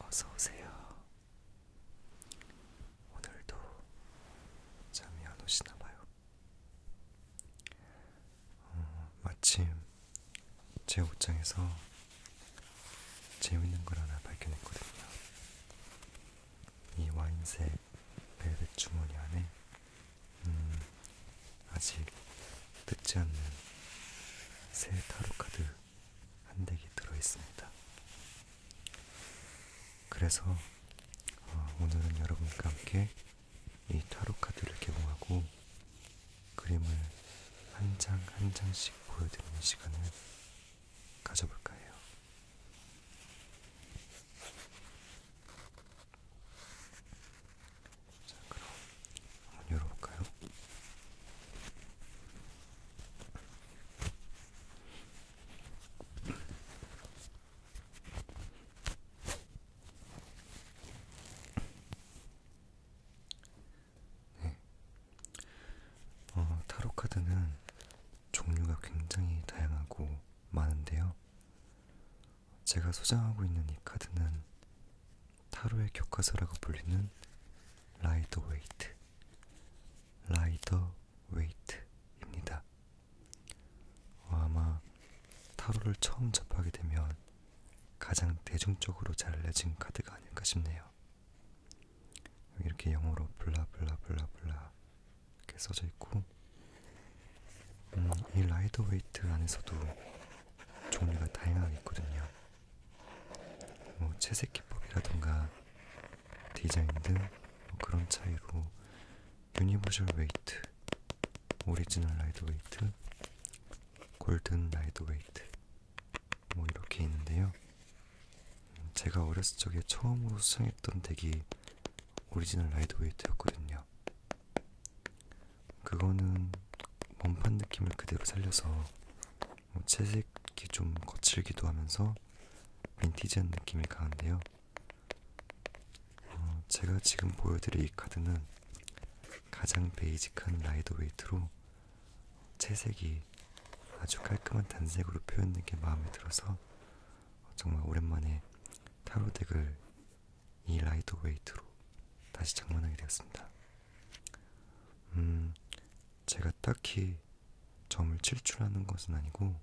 어서 오세요. 오늘도 잠이 안 오시나 봐요. 어, 마침 제 옷장에서 재밌는 걸 하나 발견했거든요. 이 와인색 벨벳 주머니 안에 음, 아직 늦지 않는 새 타로 카드 한 덱이 들어 있습니다. 그래서 어, 오늘은 여러분과 함께 이 타로 카드를 개봉하고 그림을 한 장한 한 장씩 보여드리는 시간을 가져볼까 해요. 자, 그럼 한번 열어볼까요? 네. 어, 타로 카드는 종류가 굉장히 다양하고 많은데요. 제가 소장하고 있는 이 카드는 타로의 교과서라고 불리는 라이더 웨이트, 라이더 웨이트입니다. 어, 아마 타로를 처음 접하게 되면 가장 대중적으로 잘 알려진 카드가 아닐까 싶네요. 이렇게 영어로 블라블라블라블라 이렇게 써져 있고 음, 이 라이더 웨이트 안에서도 종류가 다양하게 있거든요. 뭐 채색 기법이라던가 디자인 등뭐 그런 차이로 유니버셜 웨이트, 오리지널 라이더 웨이트, 골든 라이더 웨이트 뭐 이렇게 있는데요. 음, 제가 어렸을 적에 처음으로 수상했던 덱이 오리지널 라이더 웨이트였거든요. 그거는 원판 느낌을 그대로 살려서 뭐 채색이 좀 거칠기도 하면서 빈티지한 느낌이 강한데요. 어, 제가 지금 보여드릴 이 카드는 가장 베이직한 라이더 웨이트로 채색이 아주 깔끔한 단색으로 표현된 게 마음에 들어서 정말 오랜만에 타로 덱을 이 라이더 웨이트로 다시 장만하게 되었습니다. 음, 제가 딱히 점을 칠출하는 것은 아니고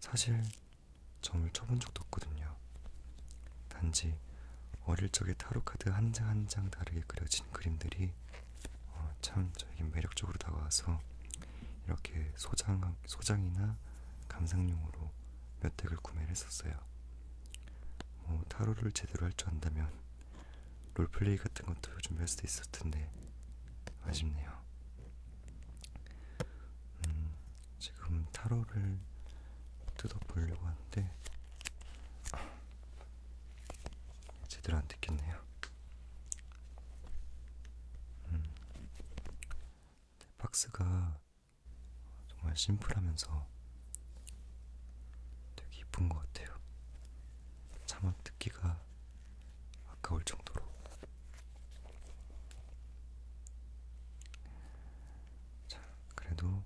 사실 점을 쳐본 적도 없거든요. 단지 어릴 적에 타로 카드 한 장 한 장 다르게 그려진 그림들이 어, 참 저에게 매력적으로 다가와서 이렇게 소장 소장이나 감상용으로 몇 덱을 구매를 했었어요. 뭐 타로를 제대로 할 줄 안다면 롤플레이 같은 것도 요즘에 할 수도 있었을 텐데 아쉽네요. 음, 지금 타로를 뜯어보려고 하는데 제대로 안 뜯겼네요. 음, 박스가 정말 심플하면서 되게 이쁜 것 같아요. 자막 듣기가 아까울 정도로 자 그래도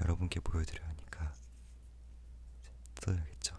여러분께 보여드려야 하니까 써야겠죠.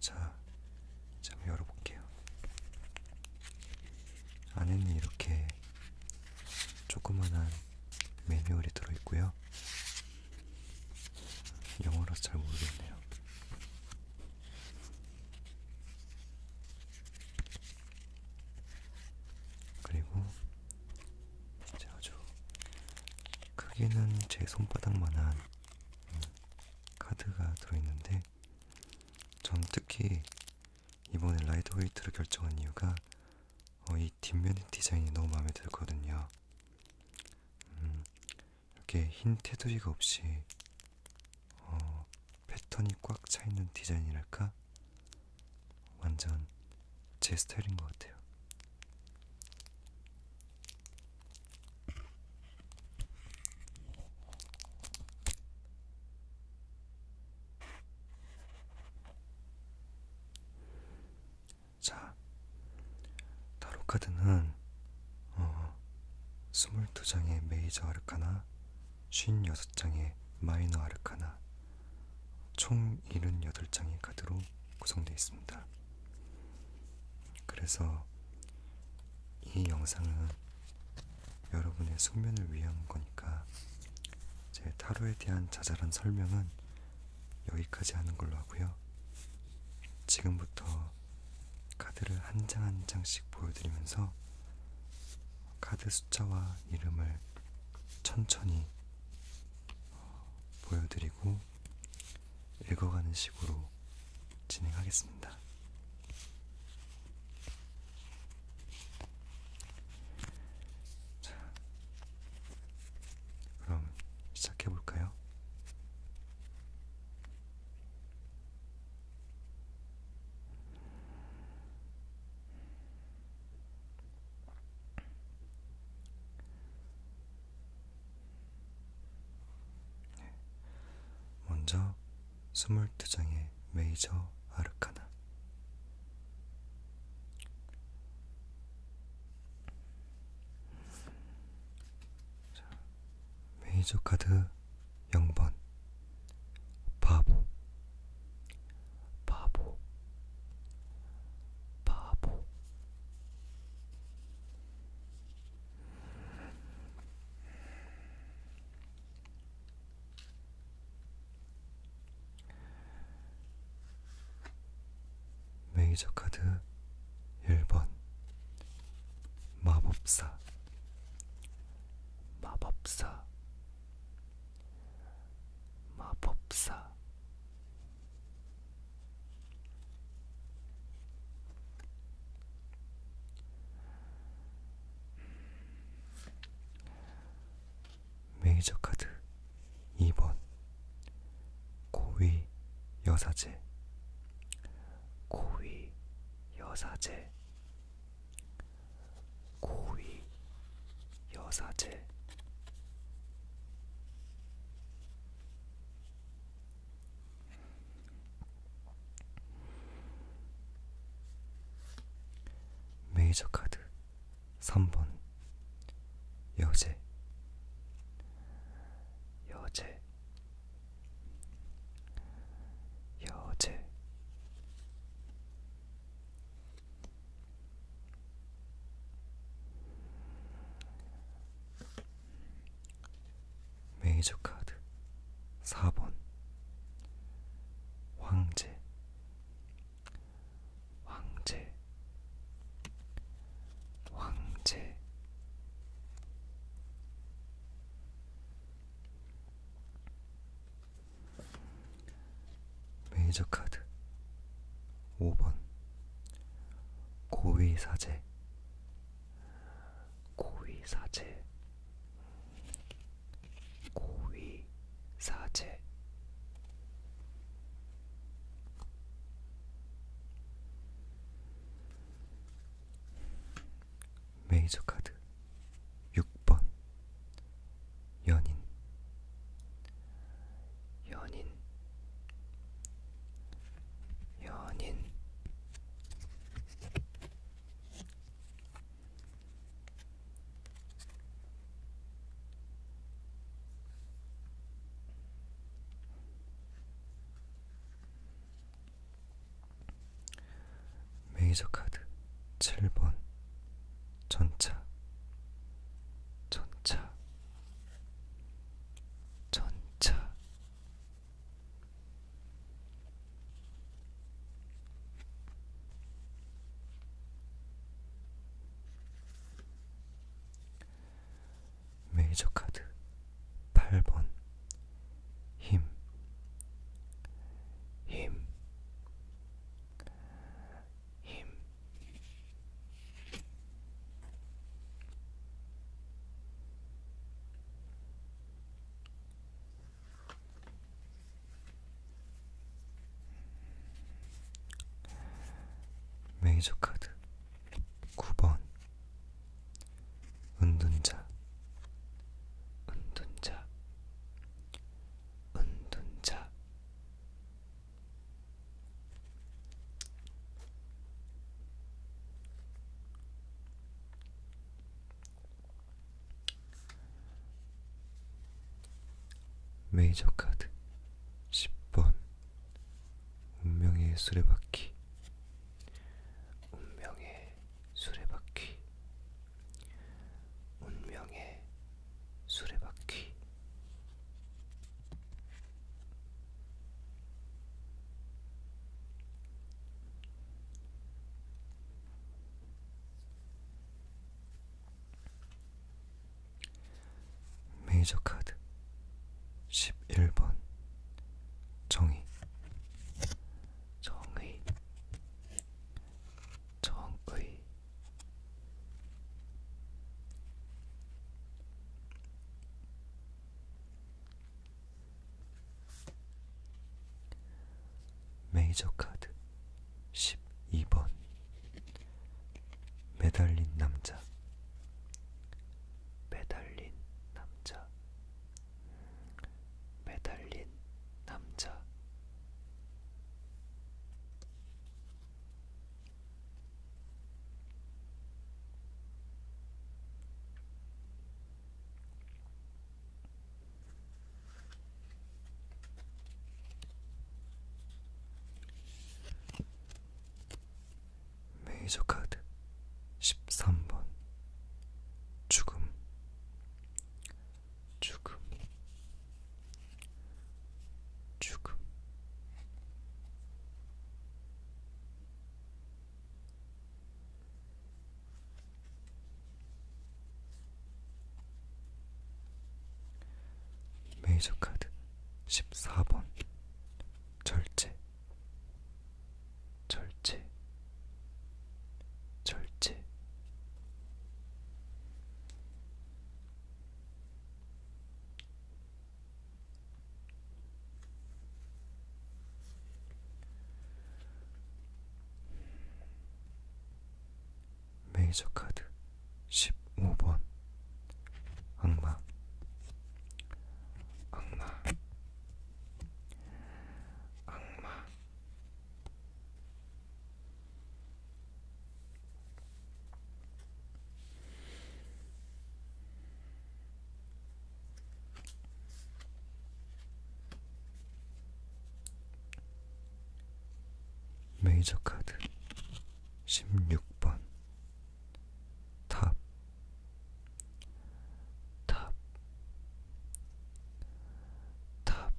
자, 자 열어볼게요. 안에는 이렇게 조그만한 매뉴얼이 들어있고요. 영어라서 잘 모르겠네요. 그리고 진짜 아주 크기는 제 손바닥만한 음, 카드가 들어있는데 전 특히 이번에 라이더 웨이트를 결정한 이유가 어, 이 뒷면 디자인이 너무 마음에 들거든요. 음, 이렇게 흰 테두리가 없이 어, 패턴이 꽉 차있는 디자인이랄까? 완전 제 스타일인 것 같아요. 자, 타로카드는 어, 22장의 메이저 아르카나 56장의 마이너 아르카나 총 78장의 카드로 구성되어 있습니다. 그래서 이 영상은 여러분의 숙면을 위한 거니까 제 타로에 대한 자잘한 설명은 여기까지 하는 걸로 하고요. 지금부터 카드를 한 장 한 장씩 보여드리면서 카드 숫자와 이름을 천천히 어, 보여드리고 읽어가는 식으로 진행하겠습니다. 자, 그럼 시작해 볼까요? 먼저 22장의 메이저 아르카나 메이저 카드 0번 바보 바보 바보 메이저 카드 1번 마법사 마법사 마법사 음, 메이저 카드 2번 고위 여사제 고위 여사제 고위 여사제 메이저 카드 3번 여제 여제 여제 메이저 카드 4번 황제 황제 황제 메이저 카드 5번 고위 사제 고위 사제 고위 사제 메이저 카드 6번 연인 연인 연인 메이저 카드 7번 전차 전차 전차 메이저 카드 8번 힘, 힘, 힘 메이저 카드 9번 은둔자 은둔자 은둔자 메이저 카드 10번 운명의 수레바퀴 운명의 수레바퀴 운명의 수레바퀴 메이저 카드 11번 정의 정의 정의 메이저 카드 12번 매달린 남자 매달린 남자 매달린 남자 메이저 카드 13번 죽음 죽음, 죽음. 메이저 카드 14번 절제 절제 절제 메이저 카드 15번 악마 악마 악마 메이저 카드 16번 탑, 탑, 탑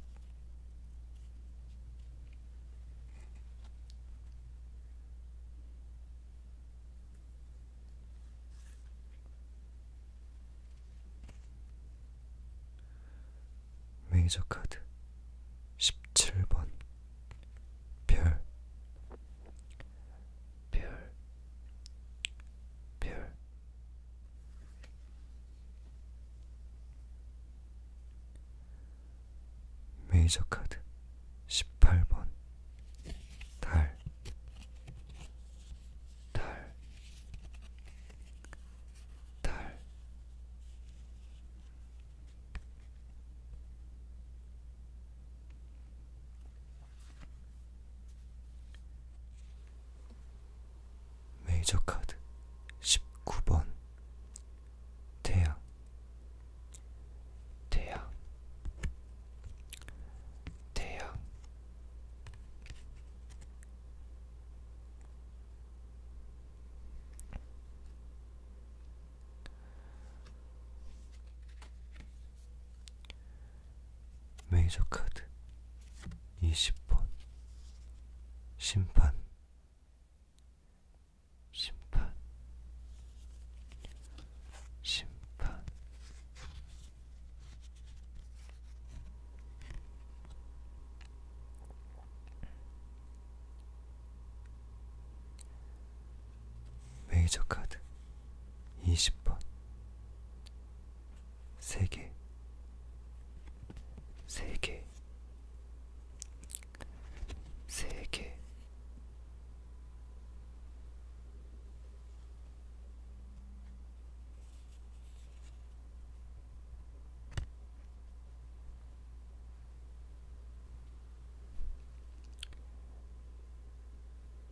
메이저 카드 17번 별, 별, 별, 메이저 카드 18번 달, 달, 달. 메이저 카드 19번 태양 태양 태양 메이저 카드 20번 심판 심판, 심판, 메이저 카드 20번 세 개, 세 개, 세 개.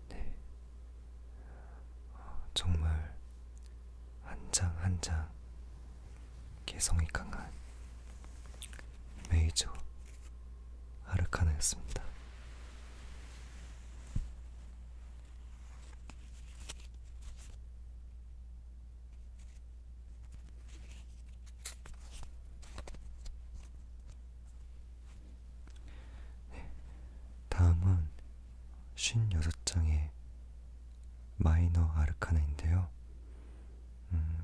네, 아, 정말 한 장 한장 한장 개성이 강한 메이저 아르카나였습니다. 네, 다음은 56장의 마이너 아르카나인데요. 음,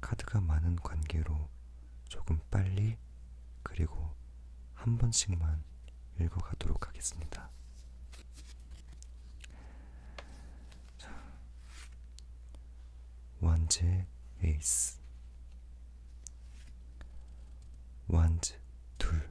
카드가 많은 관계로 조금 빨리 그리고 한 번씩만 읽어가도록 하겠습니다. 완즈 에이스 완즈 둘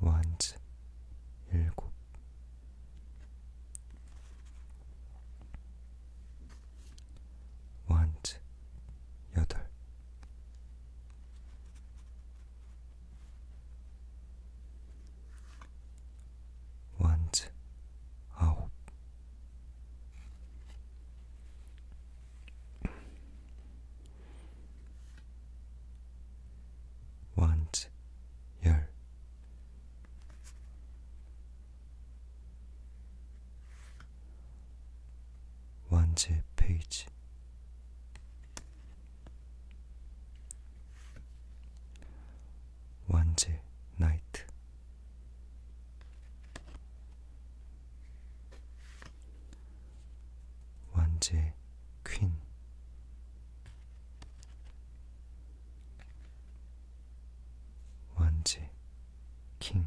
완즈 일곱 완즈 여덟 완즈 아홉 want your want page want night 완제 퀸 완제 킹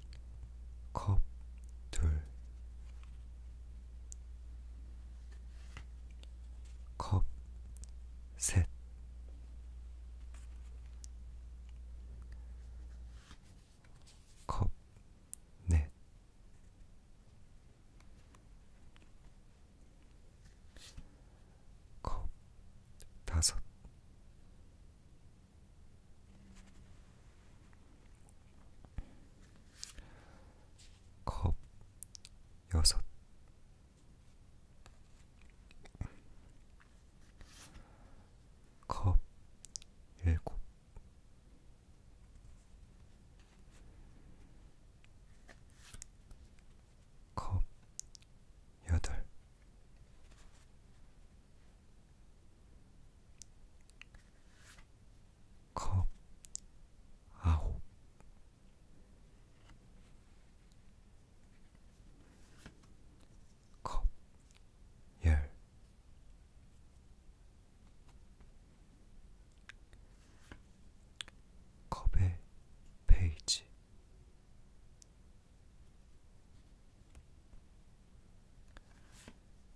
컵 둘, 컵 셋, 컵 넷, 컵 다섯. 컵컵 여섯 컵 일곱 컵 여덟 컵 아홉 컵열 컵의 페이지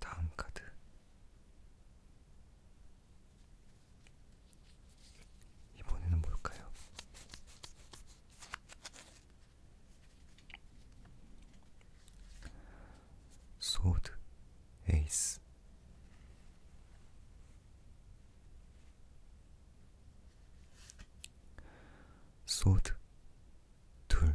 다음 카드 이번에는 뭘까요? 소드 에이스 소드 둘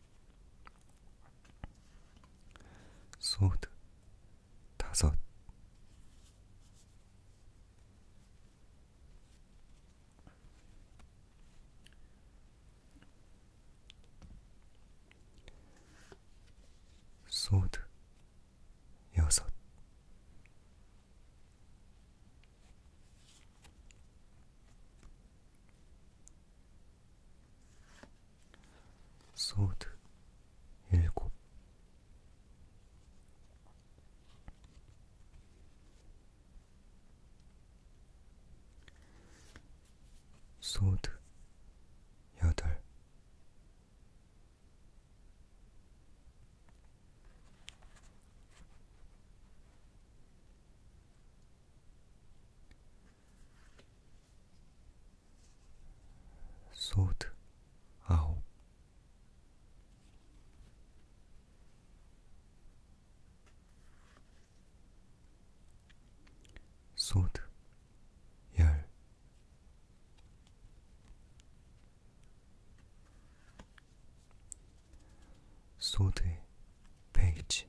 소드 다섯 소드 여섯 소드 일곱 소드 여덟 소드 아홉 소드 열 소드의 베이지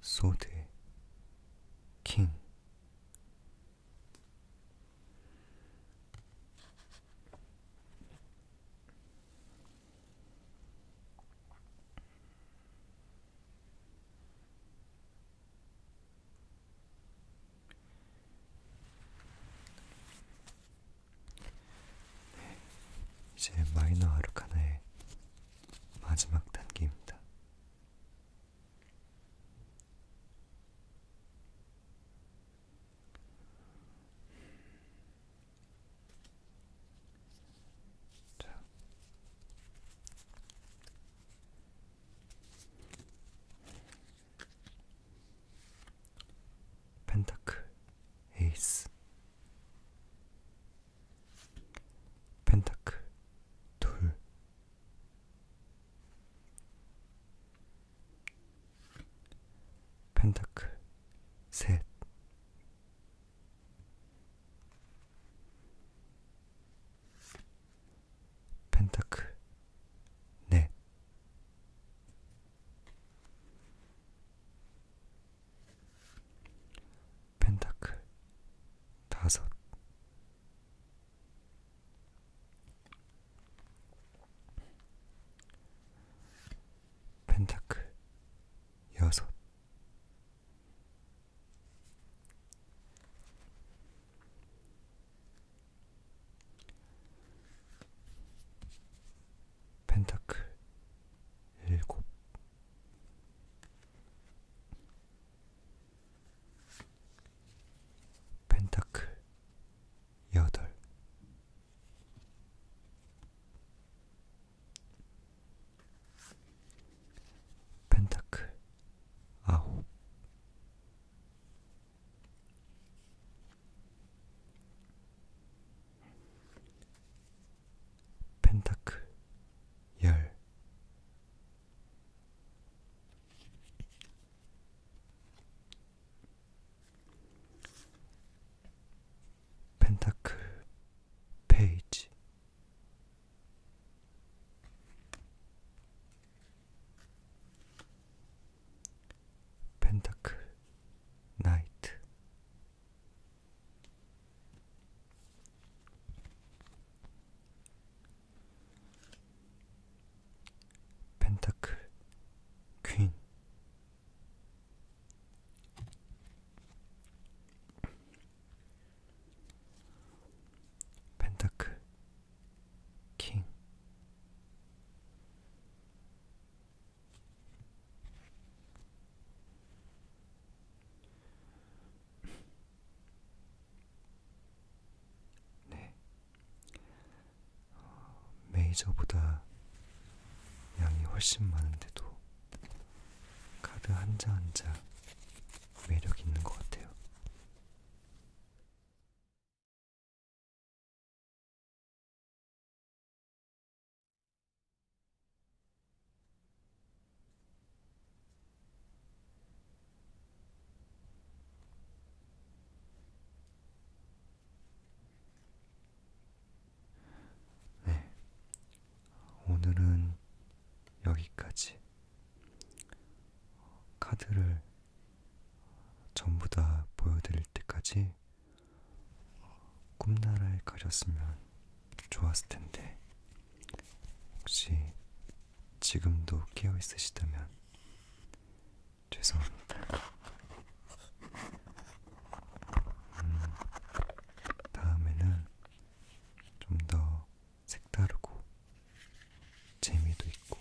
소드 킹 이제 마이너 아르카나의 마지막 단계입니다. 자. 펜타클 에이스 펜타클 둘 펜타클 셋 펜타클 넷 펜타클 다섯 펜타클 여섯 펜타클 일곱 펜타클 여덟 펜타클 아홉 펜타클 열 펜타클 페이지 펜타클 나이트 ペンタッククイーンペンタック金 네. 어, 메이저보다 양이 훨씬 많은데도 카드 한 장 한 장 매력 있는 것 같아요. 네, 오늘은 여기까지 카드를 전부 다 보여드릴 때까지 꿈나라에 가셨으면 좋았을 텐데 혹시 지금도 깨어 있으시다면 죄송합니다. 음, 다음에는 좀 더 색다르고 재미도 있고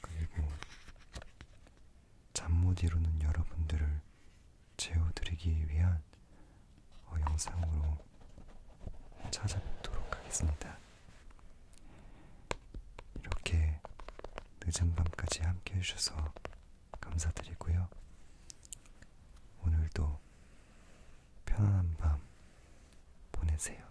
그리고 잠 못 이루는 여러분들을 재워드리기 위한 어, 영상으로 찾아뵙도록 하겠습니다. 이렇게 늦은 밤까지 함께 해주셔서 감사드리고요. 오늘도 편안한 밤 보내세요.